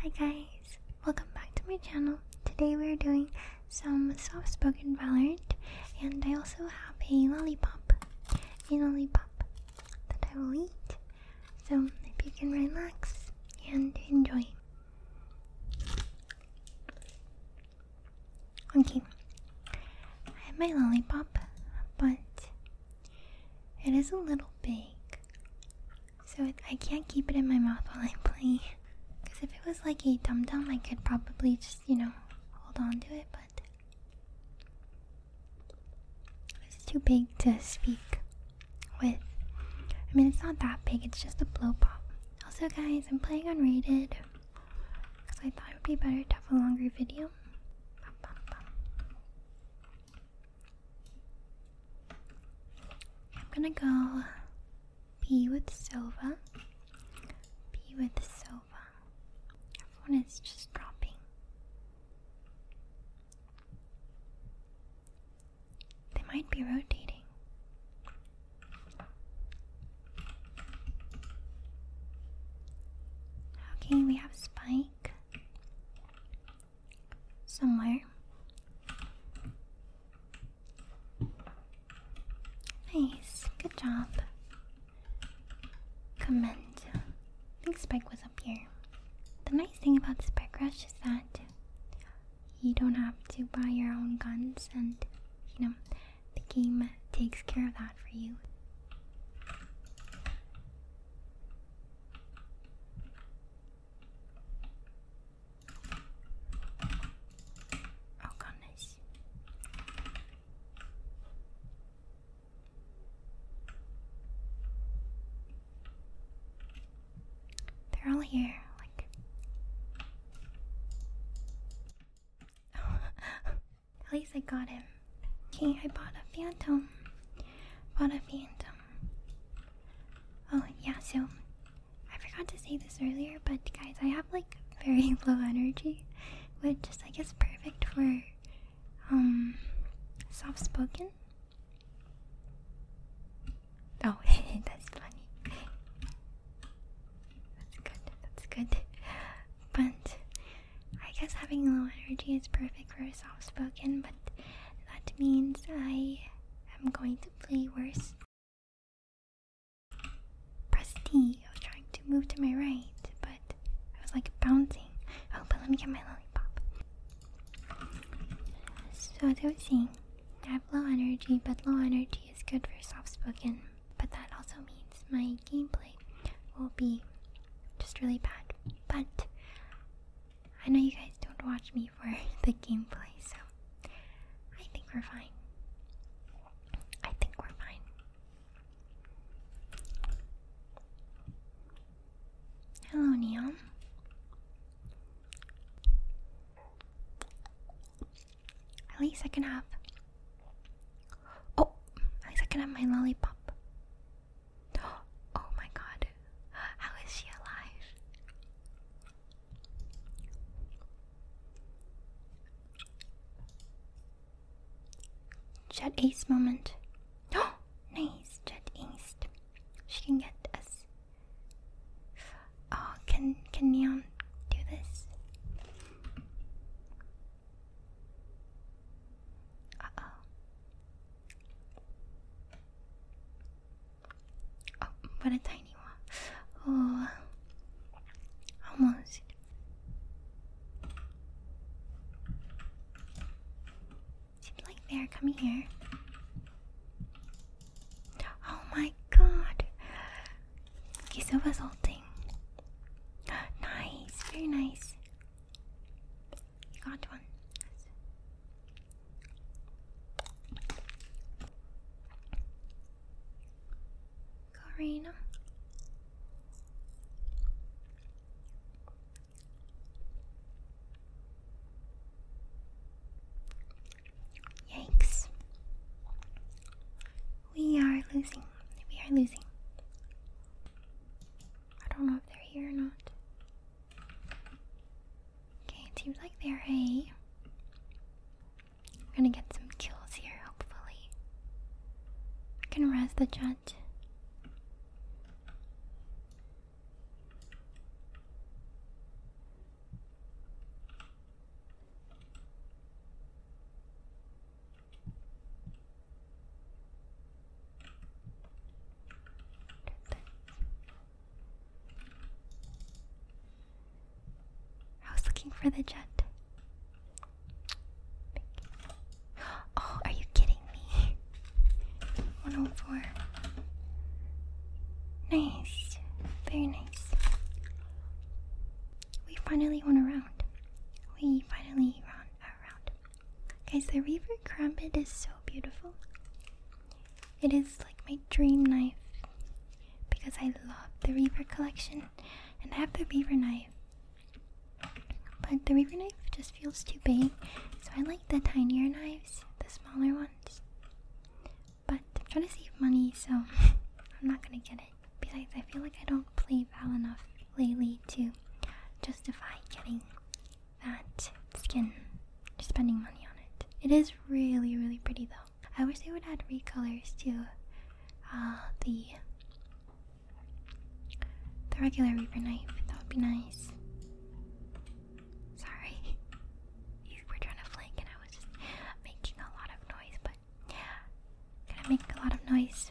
Hi guys, welcome back to my channel. Today we are doing some soft spoken Valorant and I also have a lollipop, a lollipop that I will eat. So if you can relax and enjoy. Okay, I have my lollipop, but it is a little big. So I can't keep it in my mouth while I play. Because if it was like a dum dum, I could probably just, you know, hold on to it, but it's too big to speak with. I mean, it's not that big, it's just a blow pop. Also, guys, I'm playing unrated because I thought it would be better to have a longer video. I'm gonna go be with Silva. Be with Silva. Everyone is just dropping. They might be rotating. Okay, we have Spike somewhere. Nice, good job. Comment. I think Spike was up here. The nice thing about Spike Rush is that you don't have to buy your own guns, and you know, the game takes care of that for you. わかんないし。They're all here. Like, at least I got him. Okay, I bought a phantom. Bought a phantom oh yeah, so I forgot to say this earlier, but guys, I have like very low energy, which is I guess perfect for um, soft spoken. Oh, that's funny. That's good. That's good. But I guess having low energy is perfect like very soft spoken, but that means I am going to play worse. Press D. I was trying to move to my right, but I was like bouncing. Oh, but let me get my lollipop. So, as I was saying, I have low energy, but low energy is good for soft spoken, but that also means my gameplay will be just really bad. But I know you guys don't watch me for the gameplay, so I think we're fine. I think we're fine. Hello, Neon. At least I can have. Oh, at least I can have my lollipop. Oh my god, how is she alive? Jet Ace moment. Oh, nice, Jet Ace. She can get us. Oh, can can Neon do this? Uh oh. Oh, what a tiny one. Oh, almost. Seems like they're coming here. Oh my god. He's Silva's whole thing. Nice, very nice. You got one. Karina. Yikes. We are losing. We are losing. I don't know if they're here or not. Okay, it seems like they're a. We're gonna get some kills here, hopefully. We can arrest the judge. I was looking for the jet. Oh, are you kidding me? 104. Nice. Very nice. We finally won a round. We finally won a round. Guys, the Reaver Crumpet is so beautiful. It is like my dream knife because I love the Reaver collection and I have the Reaver knife. But the Reaver knife just feels too big, so I like the tinier knives, the smaller ones. But I'm trying to save money, so I'm not gonna get it. Because I feel like I don't play Val enough lately to justify getting that skin. You're spending money on it. It is really, really pretty though. I wish they would add recolors to uh, the the regular Reaper knife. That would be nice. Sorry, you were trying to flank and I was making a lot of noise, but gonna make a lot of noise.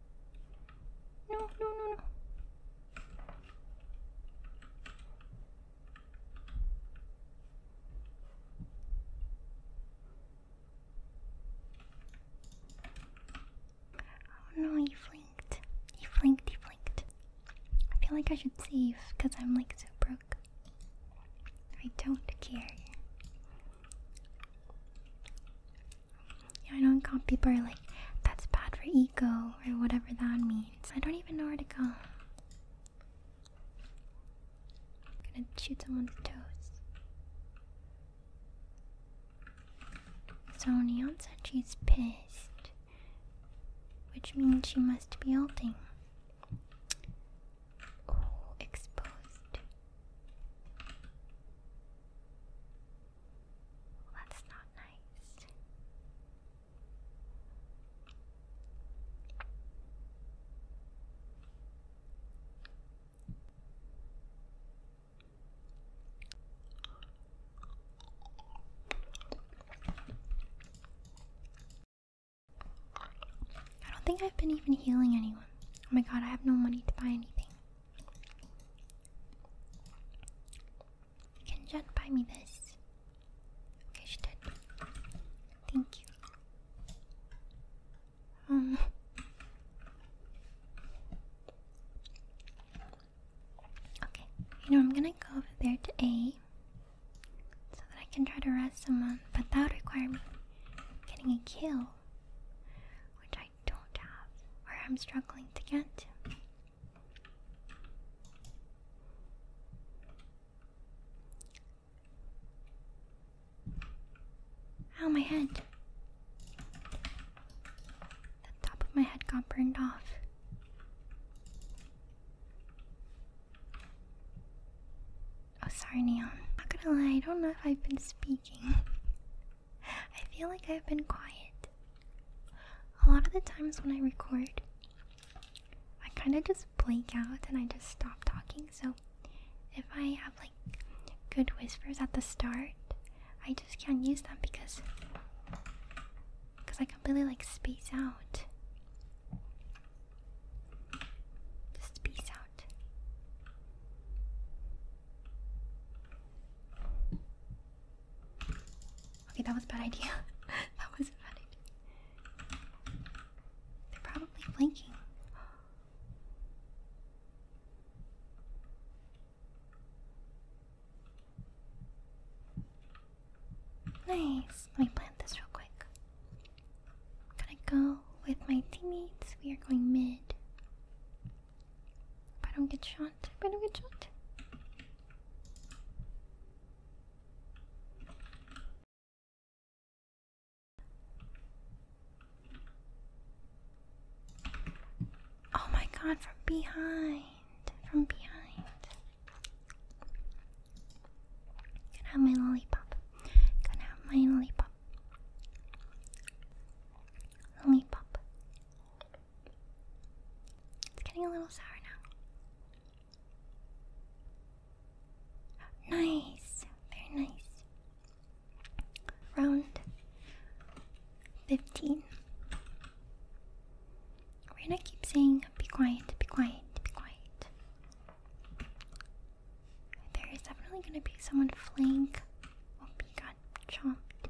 No, no, no, no. Oh no, he blinked. He blinked, he blinked. I feel like I should save because I'm like so broke. I don't care. Yeah, I know comp people are like, that's bad for ego or whatever that means. I don't even know where to go. I'm gonna shoot someone's toes. So Neon said she's pissed, which means she must be alting. Oh, exposed that's not nice. I don't think I've been even healing anyone. Oh my god, I have no money to buy anything. You Can just buy me this? Okay, she did. Thank you. Um, okay, you know, I'm gonna go over there to A so that I can try to arrest someone, but that would require me getting a kill, which I. I don't have or I'm struggling to get. Ow, my head. The top of my head got burned off. Oh, sorry, Neon. Not gonna lie, I don't know if I've been speaking. I feel like I've been quiet. A lot of the times when I record, I kind of just blank out and I just stop talking. So if I have like good whispers at the start, I just can't use them because because I completely like space out. Just space out. Okay, that was a bad idea. that was a bad idea. They're probably blinking. Nice. Let me plant this real quick. I'm gonna go with my teammates. We are going mid. If I don't get shot, if I do get shot. Oh my god, from behind. From behind. Can I have my lollipop? Can I have my lollipop? Lollipop. It's getting a little sour now. Nice, very nice. Round 15. We're gonna keep saying, be quiet, be quiet, be quiet. There is definitely gonna be someone flank. Won't oh, be got chomped.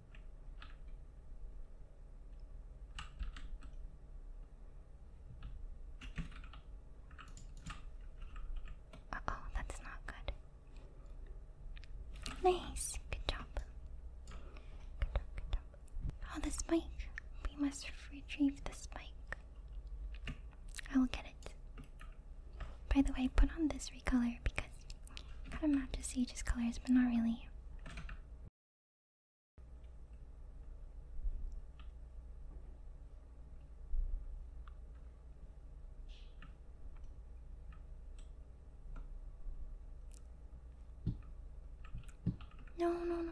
oh, that's not good. Nice, good job. Good job, good job. Oh, the spike. We must retrieve the spike. I will get it. By the way, put on this recolor because I have a map to see just colors, but not really. No, no, no.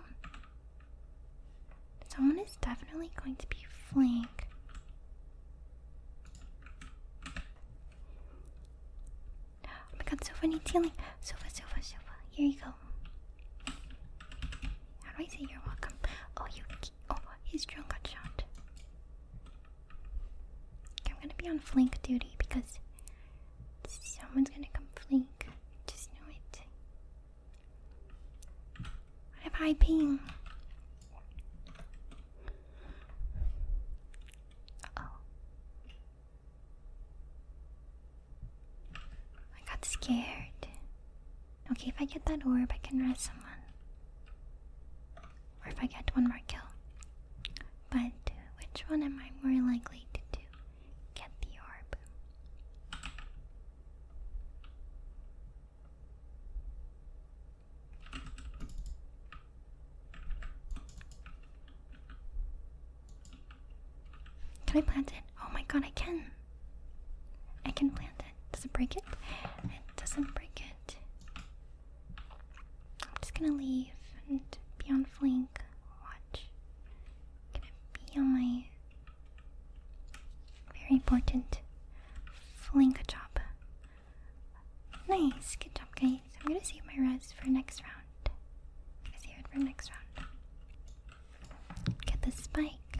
Someone is definitely going to be flank. Oh my god, Silva needs healing. Silva, Silva, Silva. Here you go. How do I say you're welcome? Oh, you. Oh, his drone got shot. I'm gonna be on flank duty because someone's gonna come flank. Just know it. have high ping. I got scared. Okay, if I get that orb, I can rest someone. Or if I get one more kill. But which one am I more likely to do? Get the orb. Can I plant it? Oh my god, I can! I can plant it. Does it break it? It doesn't break it. I'm just gonna leave and be on flank. Watch. i gonna be on my very important flank job. Nice, good job, guys. I'm gonna save my res for next round. I'm gonna save it for next round. Get the spike.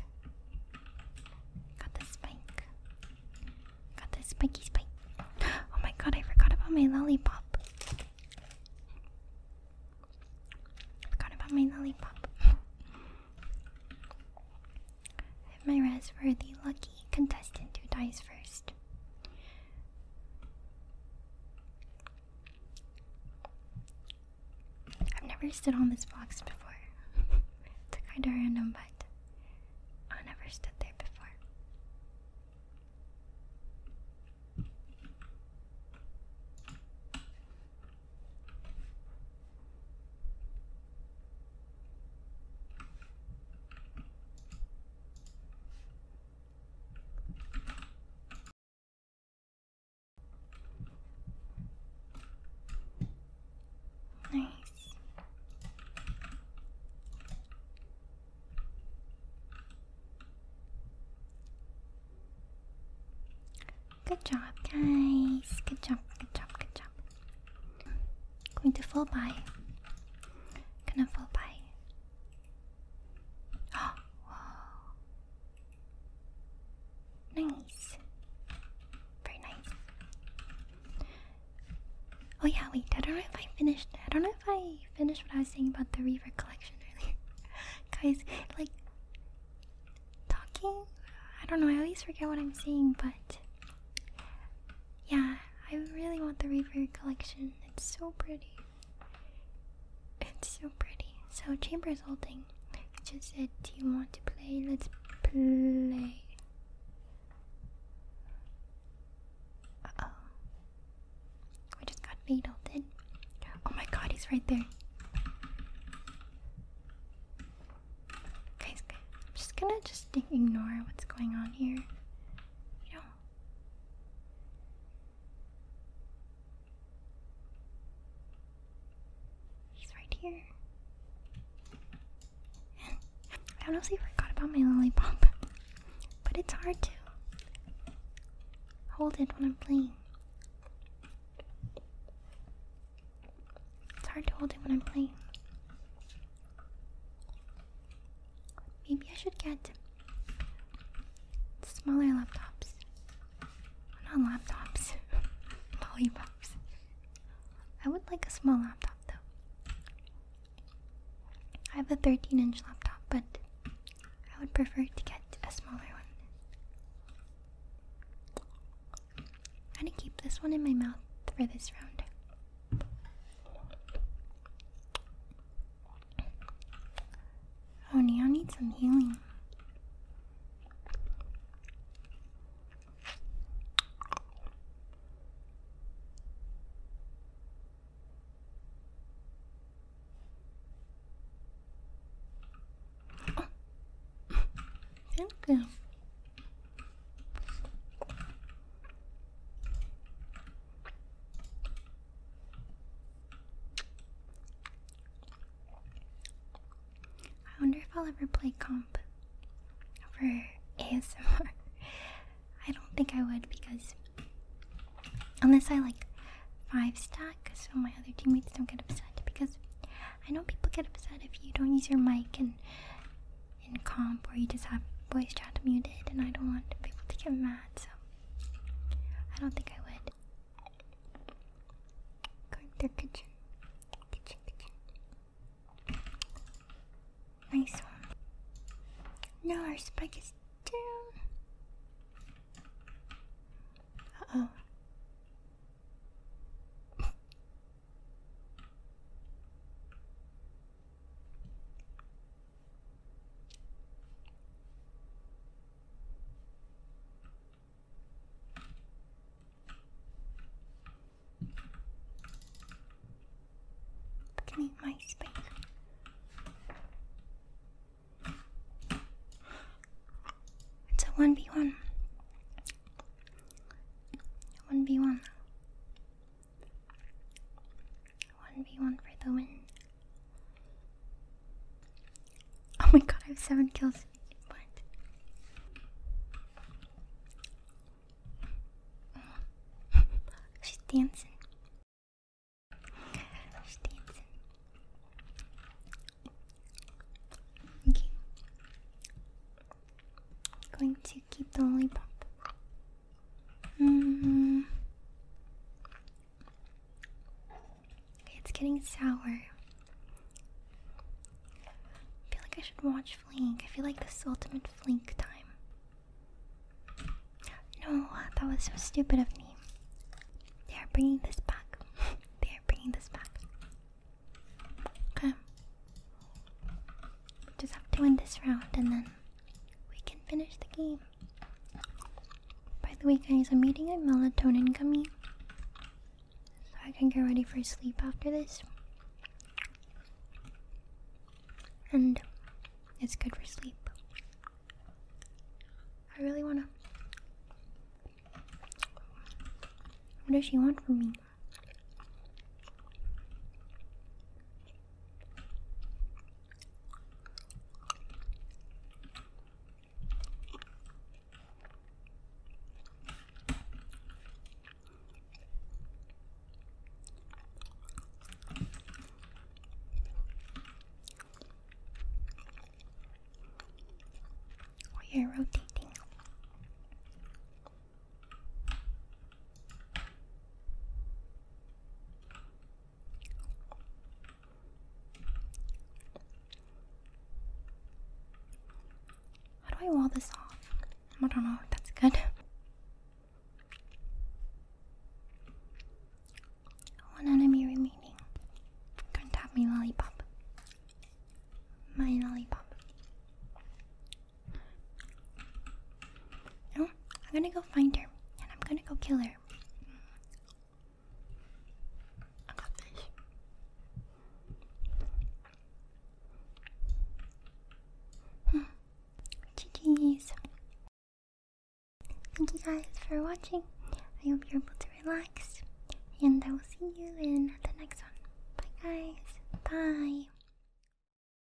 Got the spike. Got the spiky spike. Oh my god, I forgot about my lollipop. Forgot about my lollipop. I have my res for the lucky contestant who dies first. I've never stood on this box before. it's kinda random, but I've never stood there before. Nice. Good job, guys. Good job, good job, good job. Going to fall by. Gonna fall by wow. Nice. Very nice. Oh yeah, wait, I don't know if I finished I don't know if I finished what I was saying about the Reaver collection earlier. Guys, like talking I don't know, I always forget what I'm saying, but yeah, I really want the Reaver collection. It's so pretty. It's so pretty. So Chamber's holding. It just said, "Do you want to play? Let's play." Uh oh. We just got fade ulted. Oh my god, he's right there. Guys, I'm just gonna just ignore what's going on here. I do He's right here. And I honestly forgot about my lollipop, but it's hard to hold it when I'm playing. It's hard to hold it when I'm playing. Maybe I should get smaller laptops. not laptops, lollipops. I would like a small laptop though. I have a 13 inch laptop, but I would prefer to get a smaller one. I'm gonna keep this one in my mouth for this round. Oh, Neo needs some healing. Thank you. I wonder if I'll ever play comp for ASMR. I don't think I would because unless I like five stack so my other teammates don't get upset because I know people get upset if you don't use your mic and in comp where you just have voice chat muted and I don't want people to get mad, so I don't think I would. Going through kitchen. Kitchen, kitchen. Nice one. No, our spike is down. Uh oh can eat my spike. It's a 1v1. 1v1. 1v1 for the win. Oh my god, I have 7 kills. She's dancing. She's dancing. Okay. I'm going to keep the lollipop. Mm. It's getting sour. I feel like I should watch Flink. I feel like this ultimate Flink time. No, that was so stupid of me. They are bringing this back. they are bringing this back. Okay. We just have to win this round and then we can finish the game. By the way, guys, I'm eating a melatonin gummy so I can get ready for sleep after this. And it's good for sleep. I really wanna. What does she want from me? We oh, are rotating how do I wall this off? I don't know if that's good. One enemy remaining. Come tap me, lollipop. My lollipop. No, I'm gonna go find her and I'm gonna go kill her. I got this. Hmm. GG's. Thank you guys for watching. I hope you're able to relax. And I will see you in the next one. Bye guys. Bye.